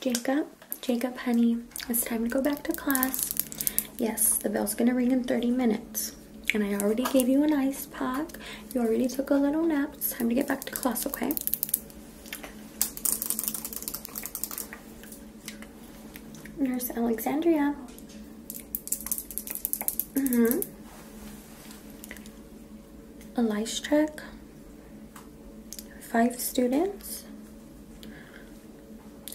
Jacob, Jacob, honey, it's time to go back to class. Yes, the bell's gonna ring in 30 minutes. And I already gave you an ice pack. You already took a little nap. It's time to get back to class, okay? Nurse Alexandria, Mm hmm A lice check. Five students.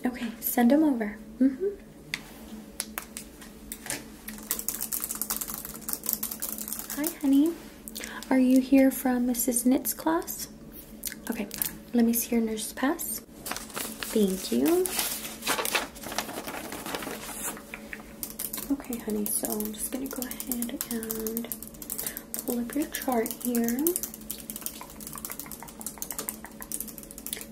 Okay, send them over. Mm hmm Hi, honey. Are you here from Mrs. Knitt's class? Okay, let me see your nurse pass. Thank you. Okay, honey, so I'm just going to go ahead and pull up your chart here.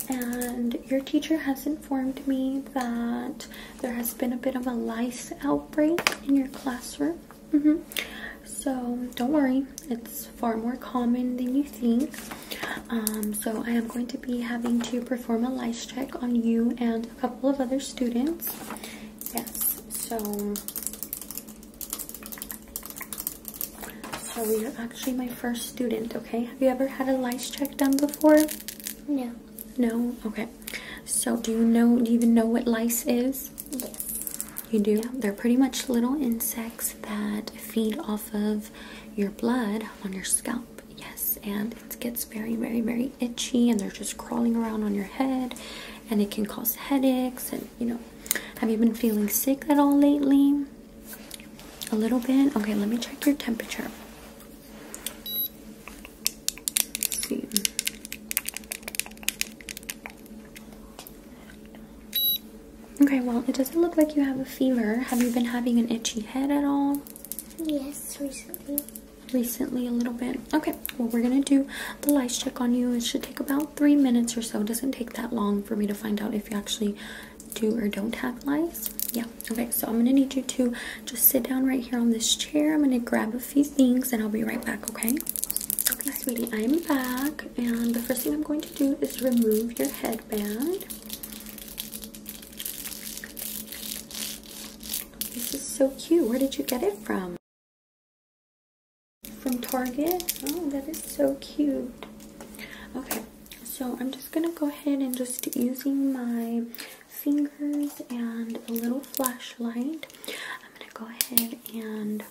And your teacher has informed me that there has been a bit of a lice outbreak in your classroom. Mm-hmm. So don't worry, it's far more common than you think. Um, so I am going to be having to perform a lice check on you and a couple of other students. Yes, so so you're actually my first student. Okay, have you ever had a lice check done before? No. No. Okay. So do you know? Do you even know what lice is? Yes. You do. They're pretty much little insects that feed off of your blood on your scalp yes, and it gets very, very, very itchy, and they're just crawling around on your head, and it can cause headaches. And you know, have you been feeling sick at all lately? A little bit. Okay, let me check your temperature. let Okay, well, it doesn't look like you have a fever. Have you been having an itchy head at all? Yes, recently. Recently, a little bit. Okay, well, we're gonna do the lice check on you. It should take about three minutes or so. It doesn't take that long for me to find out if you actually do or don't have lice. Yeah, okay, so I'm gonna need you to just sit down right here on this chair. I'm gonna grab a few things and I'll be right back, okay? Okay, sweetie, I'm back. And the first thing I'm going to do is remove your headband. This is so cute. Where did you get it from? From Target? Oh, that is so cute. Okay, so I'm just going to go ahead and just using my fingers and a little flashlight, I'm going to go ahead and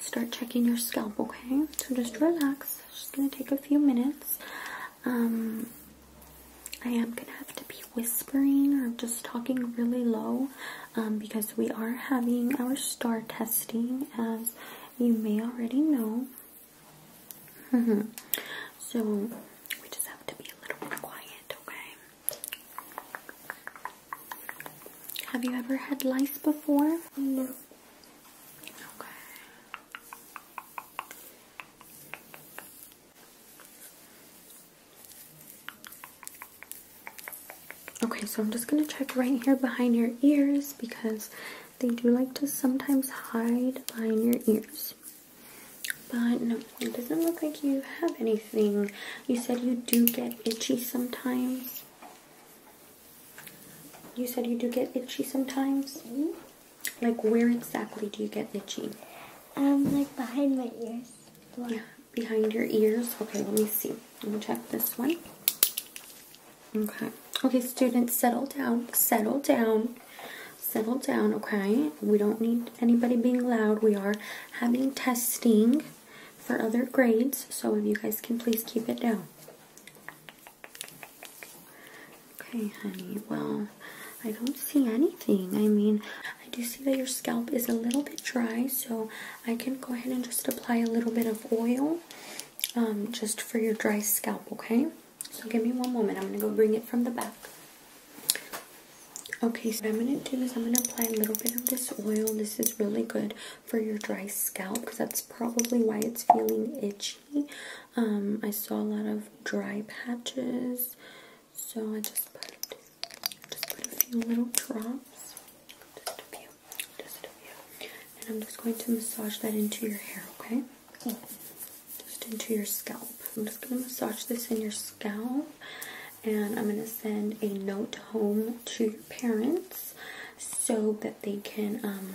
start checking your scalp, okay? So just relax just gonna take a few minutes. Um, I am gonna have to be whispering or just talking really low um, because we are having our star testing, as you may already know. So we just have to be a little bit quiet, okay? Have you ever had lice before? No. Okay. Okay, so I'm just going to check right here behind your ears because they do like to sometimes hide behind your ears. But no, it doesn't look like you have anything. You said you do get itchy sometimes. You said you do get itchy sometimes? Mm-hmm. Like where exactly do you get itching? Um, like behind my ears. Yeah, behind your ears. Okay, let me see. Let me check this one. Okay. Okay, students, settle down. Settle down. Settle down, okay? We don't need anybody being loud. We are having testing for other grades, so if you guys can please keep it down. Okay, honey. Well, I don't see anything. I mean, I do see that your scalp is a little bit dry, so I can go ahead and just apply a little bit of oil um, just for your dry scalp, okay? So give me one moment. I'm going to go bring it from the back. Okay, so I'm going to do is I'm going to apply a little bit of this oil. This is really good for your dry scalp because that's probably why it's feeling itchy. Um, I saw a lot of dry patches, so I just put a few little drops, just a few, just a few, and I'm just going to massage that into your hair, okay? Just into your scalp. I'm just going to massage this in your scalp, and I'm going to send a note home to your parents so that they can um,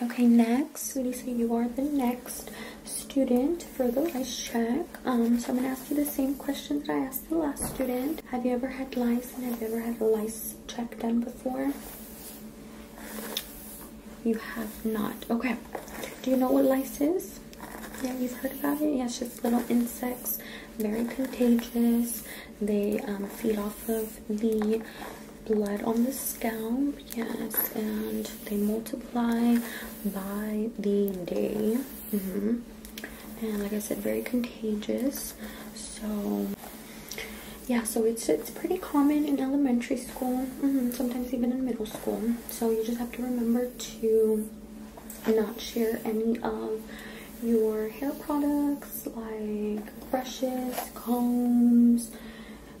Okay, next, sweetie, so you are the next student for the lice check. Um, so I'm gonna ask you the same question that I asked the last student. Have you ever had lice and have you ever had a lice check done before? You have not. Okay. Do you know what lice is? Yeah, you've heard about it? Yeah, it's just little insects, very contagious. They um, feed off of the blood on the scalp, yes, and they multiply by the day. Mm-hmm. And like I said, very contagious. So, yeah, so it's it's pretty common in elementary school, mm-hmm, sometimes even in middle school. So you just have to remember to not share any of your hair products like brushes, combs,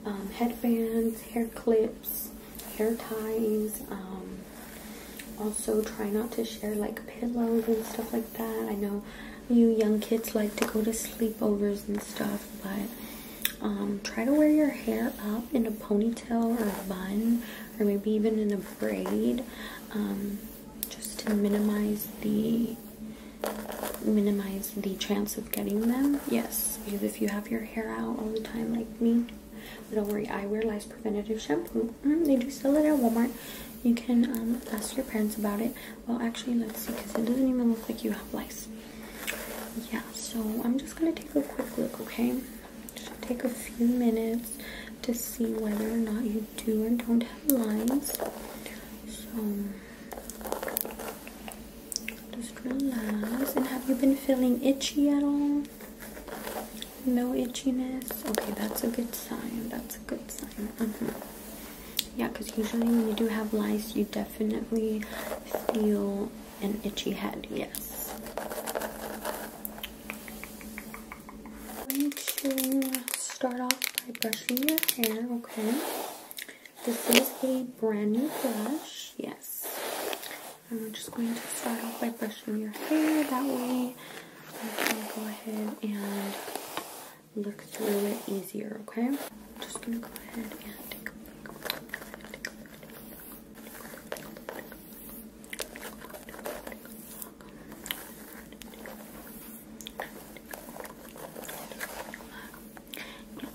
um, headbands, hair clips, hair ties. Um, also, try not to share like pillows and stuff like that. I know you young kids like to go to sleepovers and stuff, but um, try to wear your hair up in a ponytail or a bun or maybe even in a braid just to minimize the minimize the chance of getting them. Yes, because if you have your hair out all the time like me, don't worry, I wear lice Preventative Shampoo. Mm-hmm, they do sell it at Walmart. You can um, ask your parents about it. Well, actually, let's see, because it doesn't even look like you have lice. Yeah, so I'm just going to take a quick look, okay? Just take a few minutes to see whether or not you do or don't have lice. So... Just relax. And have you been feeling itchy at all? No itchiness? Okay, that's a good sign. That's a good sign. Mm-hmm. Yeah, because usually when you do have lice, you definitely feel an itchy head. Yes. I'm going to start off by brushing your hair, okay? This is a brand new brush. Yes. I'm just going to start off by brushing your hair. That way I can go ahead and look through it easier, okay?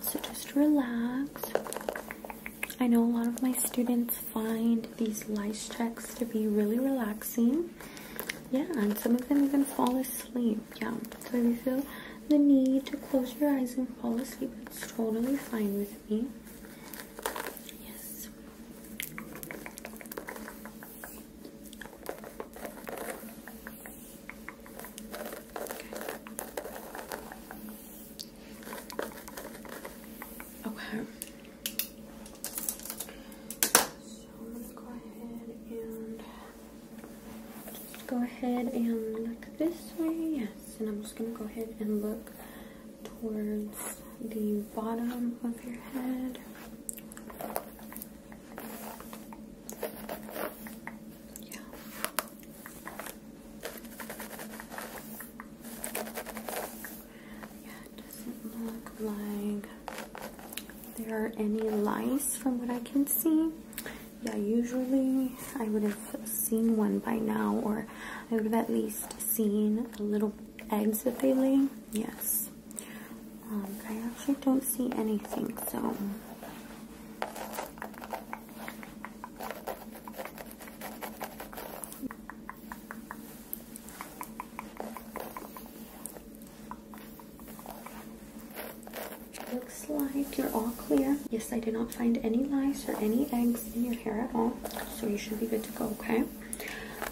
So just relax. I know a lot of my students find these lice checks to be really relaxing. Yeah, and some of them even fall asleep. Yeah, so if you feel the need to close your eyes and fall asleep, it's totally fine with me. Yes. Okay. Okay. So I'm gonna go ahead and just go ahead and look this way. Yes, and I'm just gonna go ahead and look towards the bottom of your head. Yeah. Yeah, it doesn't look like there are any lice from what I can see. Yeah, usually I would have seen one by now, or I would have at least seen the little eggs that they lay. Yes. Um, I actually don't see anything, so Looks like you're all clear. Yes, I did not find any lice or any eggs in your hair at all. So you should be good to go, okay?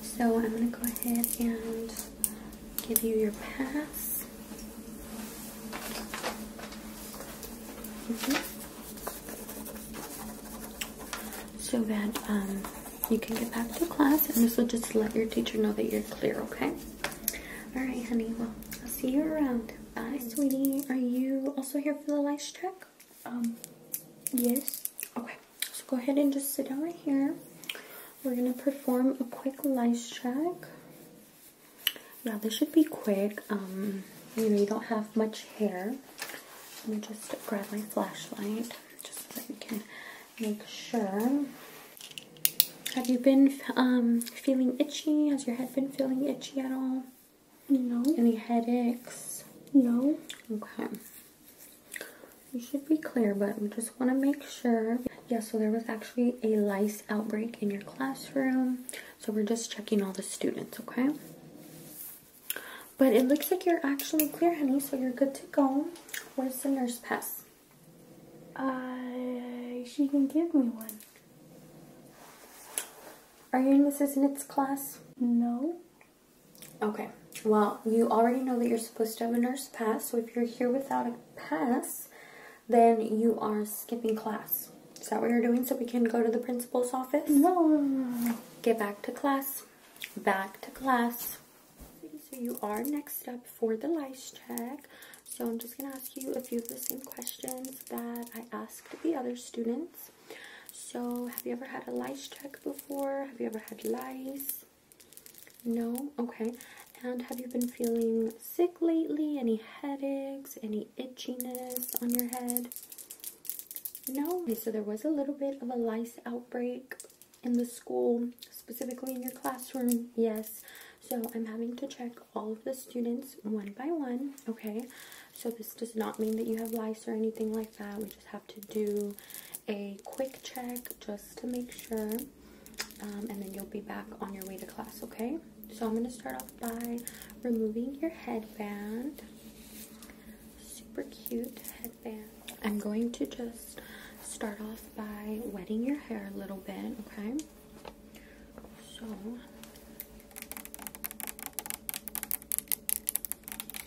So I'm going to go ahead and give you your pass. Mm-hmm. So that um, you can get back to class, and this will just let your teacher know that you're clear, okay? All right, honey. Well, I'll see you around. Bye, sweetie. Are you also here for the lice check? Um, yes. Okay. So go ahead and just sit down right here. We're gonna perform a quick lice check. Yeah, this should be quick. Um, you know, you don't have much hair. Let me just grab my flashlight just so we can make sure. Have you been um, feeling itchy? Has your head been feeling itchy at all? No. Any headaches? No. Okay. You should be clear, but we just want to make sure. Yes. so there was actually a lice outbreak in your classroom. So we're just checking all the students, okay? But it looks like you're actually clear, honey, so you're good to go. Where's the nurse pass? I uh, she can give me one. Are you in Mrs. Nitt's class? No. Okay. Well, you already know that you're supposed to have a nurse pass, so if you're here without a pass, then you are skipping class. Is that what you're doing so we can go to the principal's office? No. Get back to class. Back to class. So you are next up for the lice check. So I'm just going to ask you a few of the same questions that I asked the other students. So have you ever had a lice check before? Have you ever had lice? No? Okay. And have you been feeling sick lately? Any headaches? Any itchiness on your head? No. so there was a little bit of a lice outbreak in the school, specifically in your classroom. Yes. So I'm having to check all of the students one by one, okay? So this does not mean that you have lice or anything like that. We just have to do a quick check just to make sure. Um, and then you'll be back on your way to class, okay? So I'm going to start off by removing your headband. Super cute headband. I'm going to just start off by wetting your hair a little bit, okay? So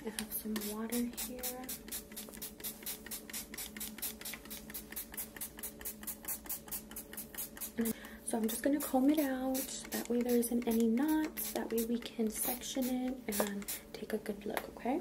I have some water here. So I'm just going to comb it out. That way there isn't any knots. That way we can section it and take a good look, okay?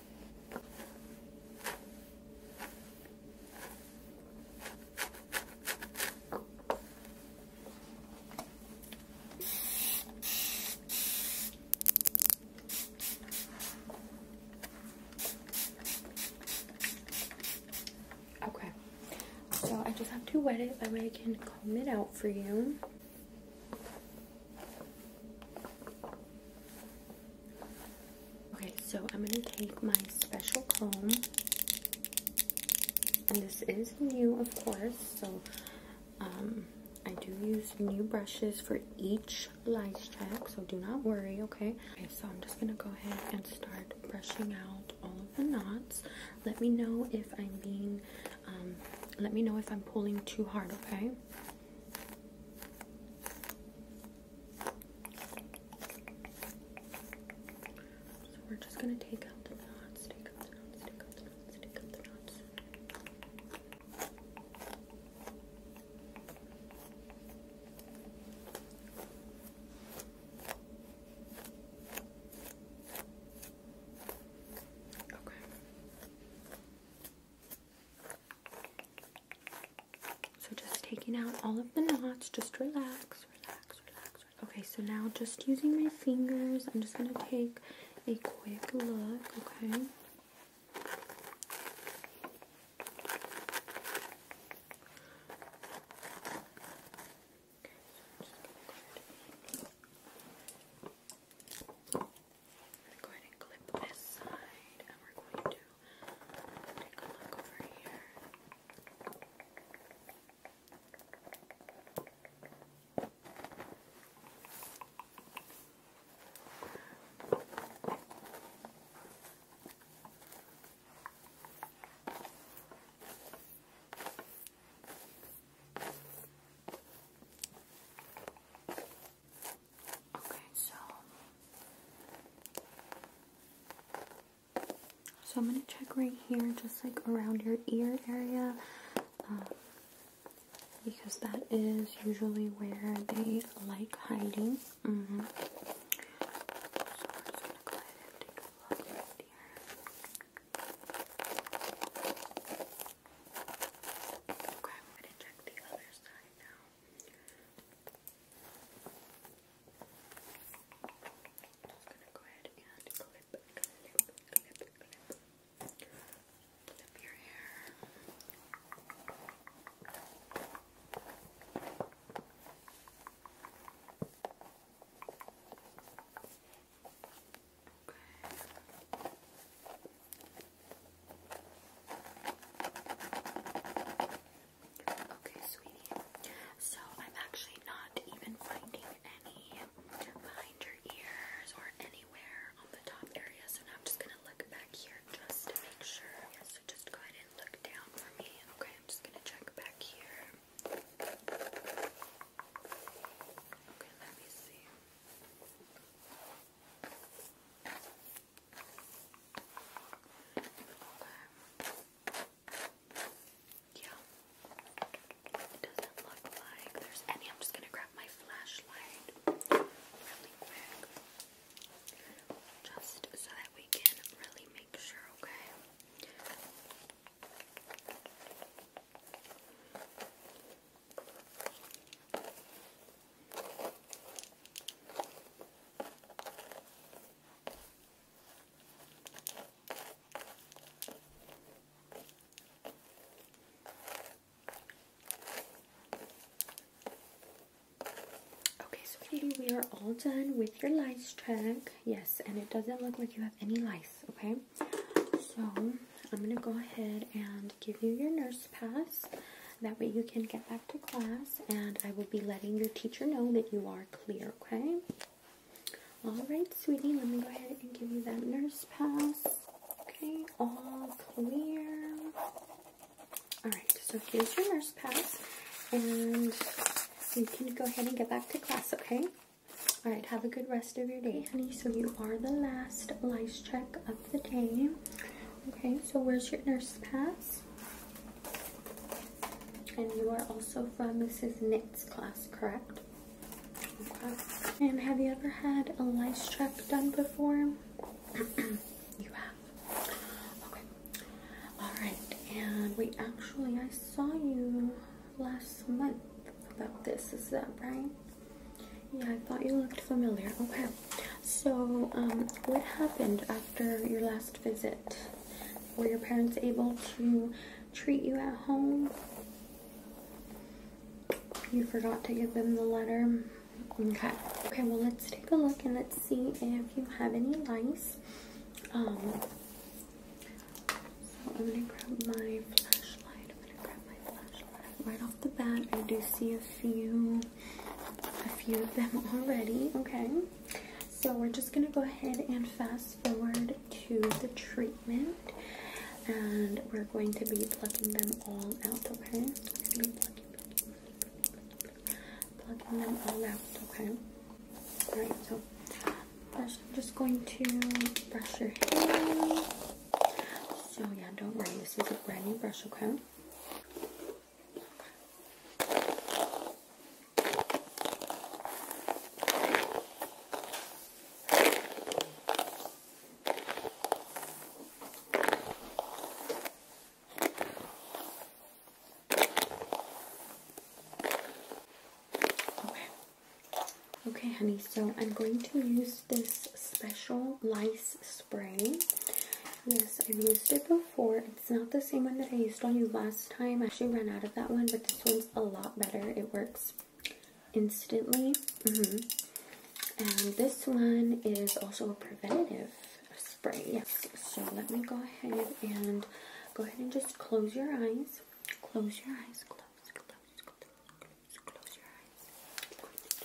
Okay, so I just have to wet it, that way I can comb it out for you. Okay, so I'm going to take my special comb. And this is new, of course, so um, I do use new brushes for each lice check, so do not worry, okay? so I'm just going to go ahead and start brushing out all of the knots. Let me know if I'm being, um, let me know if I'm pulling too hard, okay? So we're just going to take out the knots, take out the knots, take out the knots, take out the knots. Okay. So just taking out all of the knots, just relax, relax, relax. Okay, so now just using my fingers, I'm just going to take a quick look, okay? Take a look over here. Okay, so so I'm gonna check right here, just like around your ear area, um, because that is usually where they like hiding. Mm-hmm. Okay, I'm gonna check the other side now just gonna go ahead and clip, clip, clip, clip. Clip your hair. Okay. Okay. Okay, sweetie. So I'm actually not even finding any behind your ears or anywhere on the top area. So now I'm just gonna look back here just to make sure. so just go ahead and look down for me. Okay, I'm just gonna check back here. Okay, let me see. Yeah. It doesn't look like there's any. I'm just gonna grab my flashlight really quick. Just so that we can really make sure, okay? Okay, sweetie, we are all done with your lice check. Yes, and it doesn't look like you have any lice, okay? So, I'm going to go ahead and give you your nurse pass. That way you can get back to class, and I will be letting your teacher know that you are clear, okay? All right, sweetie, let me go ahead and give you that nurse pass. Okay, all clear. All right, so here's your nurse pass, and you can go ahead and get back to class, okay? All right, have a good rest of your day, honey. So you are the last lice check of the day. Okay, so where's your nurse pass? And you are also from Mrs. Knit's class, correct? And have you ever had a lice check done before? you have. Okay. All right. And we actually, I saw you last month about this. Is that right? Yeah, I thought you looked familiar. Okay. So, um, what happened after your last visit? Were your parents able to treat you at home? You forgot to give them the letter. Okay. Okay, well, let's take a look and let's see if you have any lice. Um, so I'm going to grab my flashlight. I'm going to grab my flashlight. Right off the bat, I do see a few, a few of them already. Okay. So we're just gonna go ahead and fast forward to the treatment and we're going to be plucking them all out, okay? plucking, them all out, okay? Alright, so i I'm just going to brush your hair. So yeah, don't worry, this is a brand new brush, okay? Okay. Okay, honey, so I'm going to use this special lice spray. Yes, I've used it before. It's not the same one that I used on you last time. I actually ran out of that one, but this one's a lot better. It works instantly. Mm-hmm. And this one is also a preventative spray. Yes, so let me go ahead and go ahead and just close your eyes. Close your eyes. Close, close your eyes.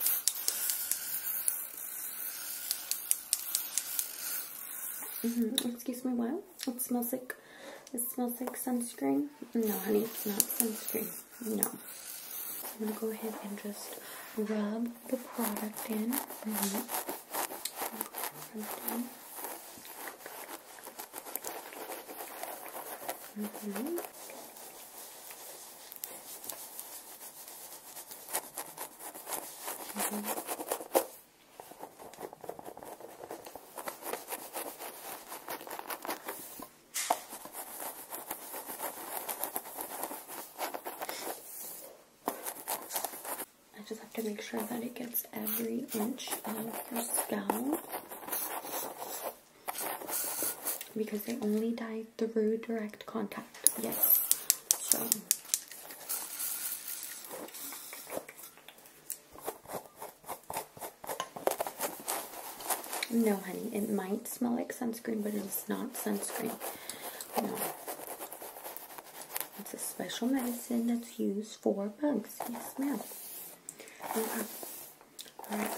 Mm-hmm. Excuse me, what? It smells like, it smells like sunscreen. No, honey, it's not sunscreen. No. I'm going to go ahead and just rub the product in. Mm-hmm. Mm-hmm. I just have to make sure that it gets every inch of this gown because they only dye through direct contact. Yes. So. No, honey, it might smell like sunscreen, but it is not sunscreen. No. It's a special medicine that's used for bugs. Yes, ma'am. Okay. Uh-huh. Alright,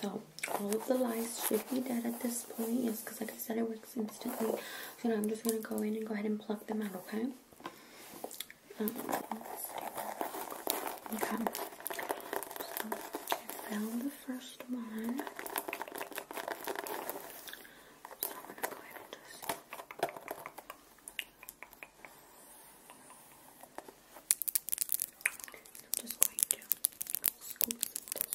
so all of the lice should be dead at this point. Yes, because like I said, it was instantly. So now I'm just going to go in and go ahead and pluck them out, okay? Um, found the first one. just. going to squeeze it, squeeze it, squeeze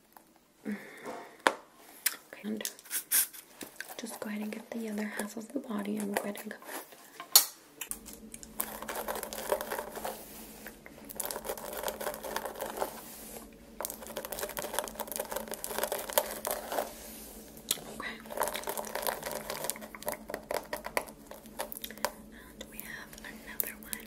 And just go ahead and get the other half of the body and go ahead and cover Okay. And we have another one.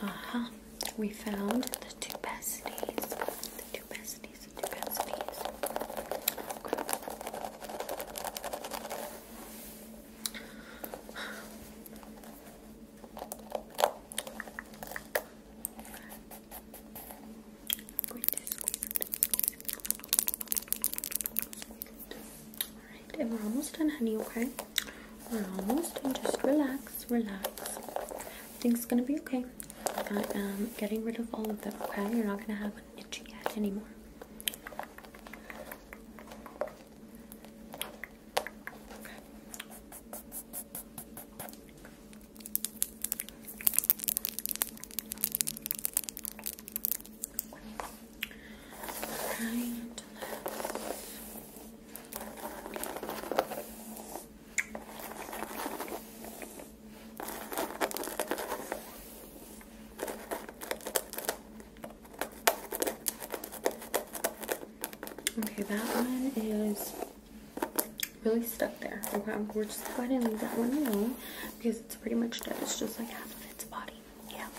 Uh-huh. We found the two besties. The two besties, the two besties we're almost done, honey, okay? We're almost done. Just relax, relax. Think it's gonna be okay. I am um, getting rid of all of the. okay? You're not gonna have an itchy head anymore. Okay, that one is really stuck there. Okay, we're just gonna go ahead and leave that one alone because it's pretty much dead. It's just like half of its body. Yeah. All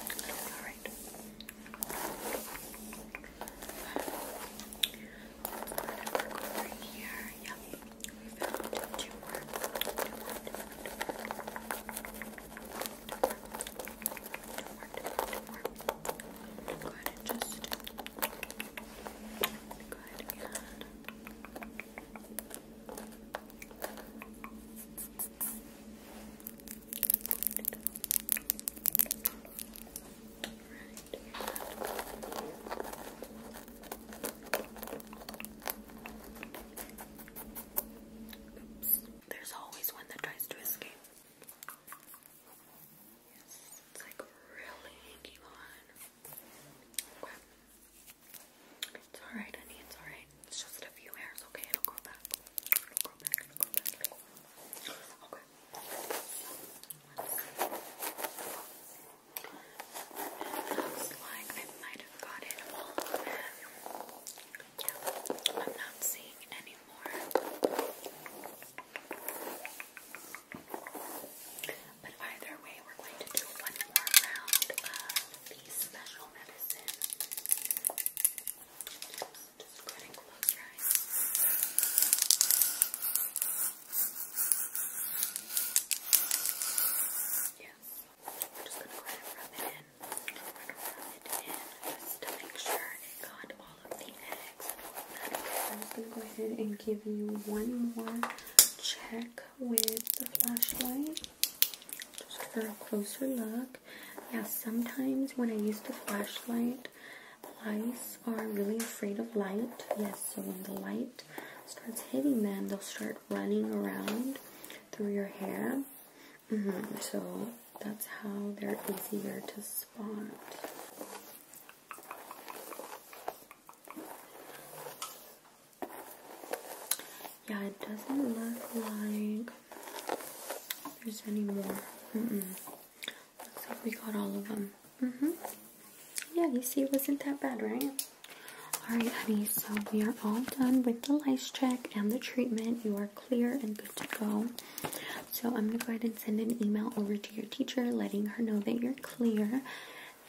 Go ahead and Oops. There's always one that tries to escape. Yes, it's like really inky on. It's alright, honey, it's alright. It's just a few hairs, okay? It'll grow back. It'll grow back, it'll grow back. Okay. It looks like I might have got it all of I'm not seeing any more. But either way, we're going to do one more round of the special medicine. Just, just close your Yes. just going to go ahead rub it in. i going to rub it in to make sure it got all of the I'm go ahead and give you one more check with the flashlight just for a closer look. Yeah, sometimes when I use the flashlight, lice are really afraid of light. Yes, so when the light starts hitting them, they'll start running around through your hair. Mm-hmm, so that's how they're easier to spot. Yeah, it doesn't look like there's any more. Mm -mm. Looks like we got all of them. Mm hmm Yeah, you see, it wasn't that bad, right? Alright, honey, so we are all done with the lice check and the treatment. You are clear and good to go. So I'm going to go ahead and send an email over to your teacher letting her know that you're clear.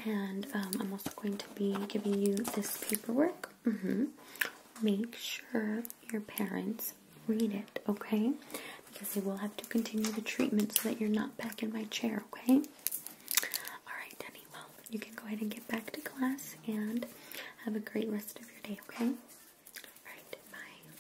And um, I'm also going to be giving you this paperwork. Mm-hmm. Make sure your parents read it, okay? Because they will have to continue the treatment so that you're not back in my chair, okay? Alright, Denny, well, you can go ahead and get back to class and have a great rest of your day, okay? Alright, bye.